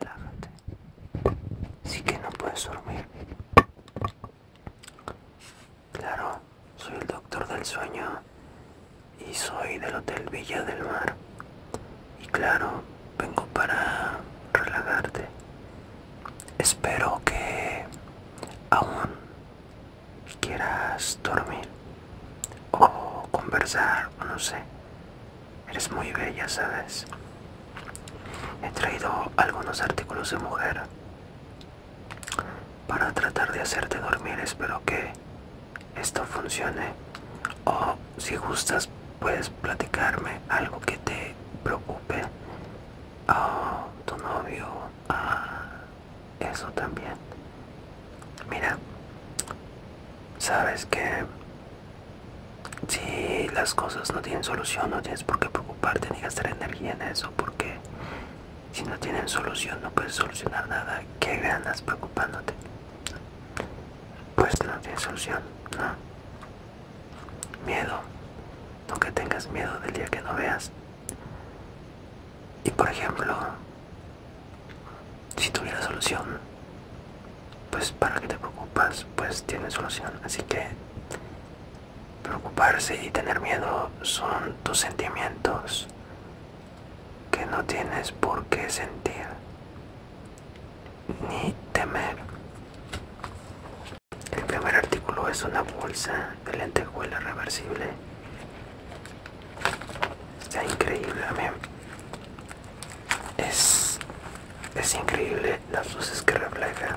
Relájate. Sí que no puedes dormir. Claro, soy el doctor del sueño y soy del Hotel Villa del Mar. Y claro, vengo para relajarte. Espero que aún quieras dormir o conversar o no sé. Eres muy bella, ¿sabes? He traído algunos artículos de mujer para tratar de hacerte dormir. Espero que esto funcione. O si gustas, puedes platicarme algo que te preocupe. o ah, tu novio Ah, eso también. Mira, sabes que si las cosas no tienen solución, no tienes por qué preocuparte ni gastar energía en eso, porque si no tienen solución, no puedes solucionar nada. ¿Qué ganas preocupándote? Pues no tienes solución, ¿no? Miedo. que tengas miedo del día que no veas. Y por ejemplo, si tuviera solución, pues para que te preocupas, pues tienes solución. Así que preocuparse y tener miedo son tus sentimientos que no tienes por qué sentir ni temer. El primer artículo es una bolsa de lentejuela reversible. Está increíble, Es, es increíble las luces que refleja.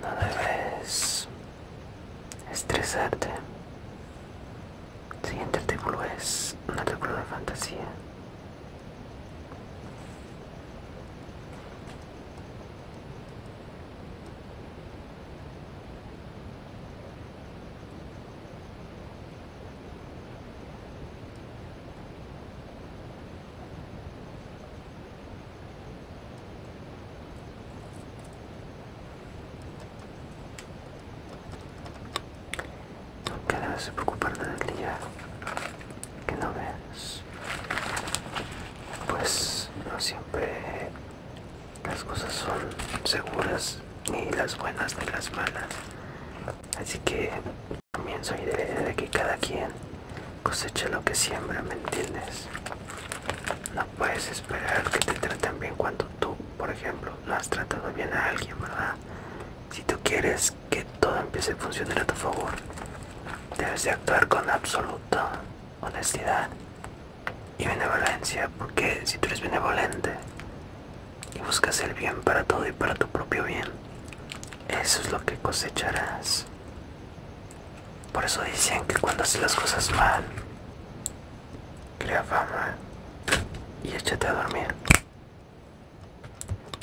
No debes estresarte. El siguiente artículo es un artículo de fantasía que debes preocuparte del día que no ves pues no siempre las cosas son seguras ni las buenas ni las malas así que también soy de que cada quien cosecha lo que siembra, ¿me entiendes? No puedes esperar que te traten bien cuando tú, por ejemplo, no has tratado bien a alguien, ¿verdad? Si tú quieres que todo empiece a funcionar a tu favor, debes de actuar con absoluta honestidad y benevolencia, porque si tú eres benevolente y buscas el bien para todo y para tu propio bien, eso es lo que cosecharás. Por eso dicen que cuando haces las cosas mal, crea fama y échate a dormir.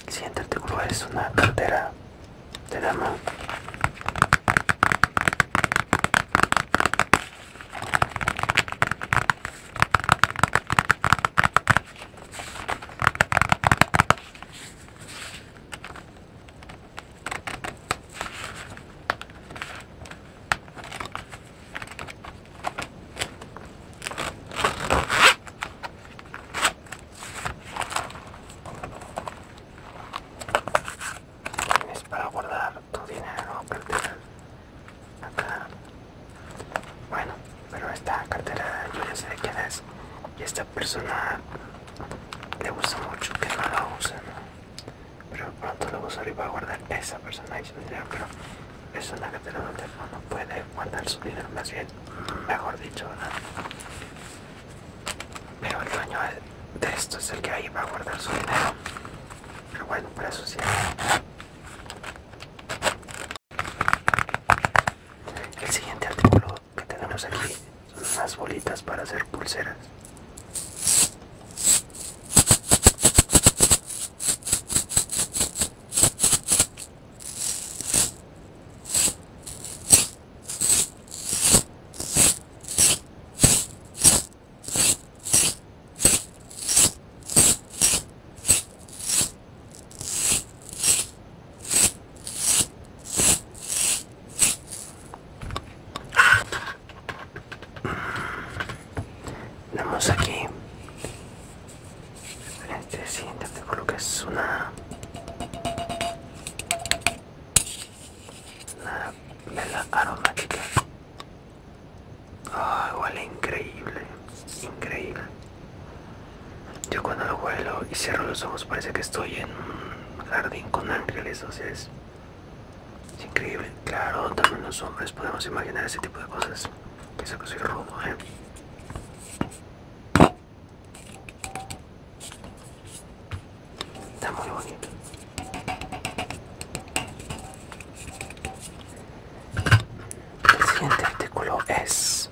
Siéntate cruel, es una cartera de dama. Tienes para guardar tu dinero cartera acá. Bueno, pero esta cartera yo ya sé de quién es. Y persona le gusta mucho que no la usen pero pronto lo va para guardar esa persona y su dinero pero es la que te lo no puede guardar su dinero más bien mejor dicho pero el dueño de esto es el que ahí va a guardar su dinero pero bueno para eso sí el siguiente artículo que tenemos aquí son unas bolitas para hacer pulseras tenemos aquí. En este siguiente que es una, una vela aromática. igual ah, huele increíble, increíble. Yo cuando lo huelo y cierro los ojos parece que estoy en jardín con ángeles, o sea, es, increíble. Claro, también los hombres podemos imaginar ese tipo de cosas. que soy rudo, ¿eh? Está muy bonito. El siguiente artículo es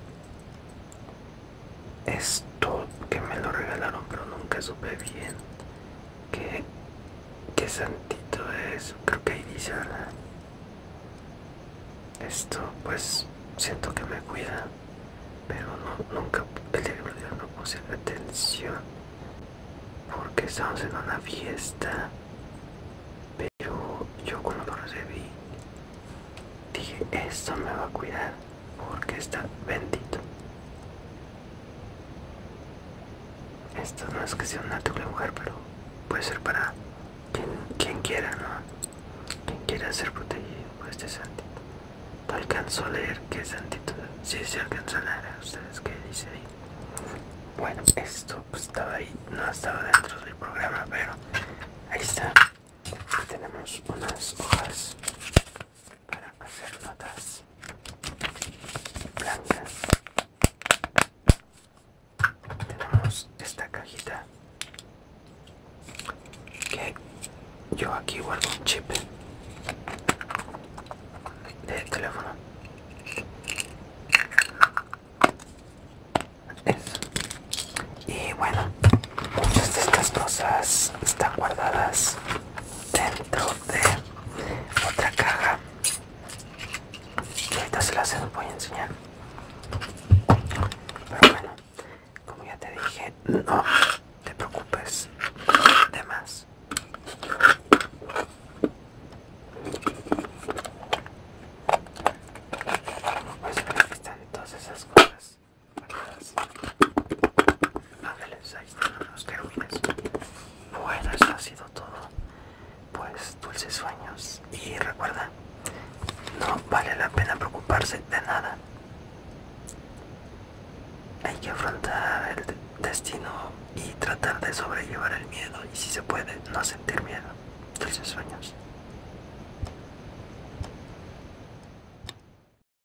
esto que me lo regalaron pero nunca supe bien qué, santito es creo que ahí dice esto pues siento que me cuida pero nunca el día dieron no puse atención porque estamos en una fiesta pero yo cuando lo recibí dije esto me va a cuidar porque está bendito. Esto no es que sea un natural mujer, pero puede ser para quien, quiera, ¿no? Quien quiera ser protegido por este santito. alcanzó a leer que es santito. Si se alcanza alcanzó a leer, ¿ustedes que dice Bueno, esto pues, estaba ahí, no estaba dentro del programa, pero ahí está. tenemos unas hojas para hacer notas blancas tenemos esta cajita que yo aquí guardo un chip de teléfono y bueno muchas de estas cosas están guardadas dentro de otra caja y ahorita se las voy a enseñar pero bueno como ya te dije no te preocupes de más pues están todas esas cosas bueno, eso ha sido todo. Pues dulces sueños. Y recuerda, no vale la pena preocuparse de nada. Hay que afrontar el destino y tratar de sobrellevar el miedo. Y si se puede, no sentir miedo. Dulces sueños.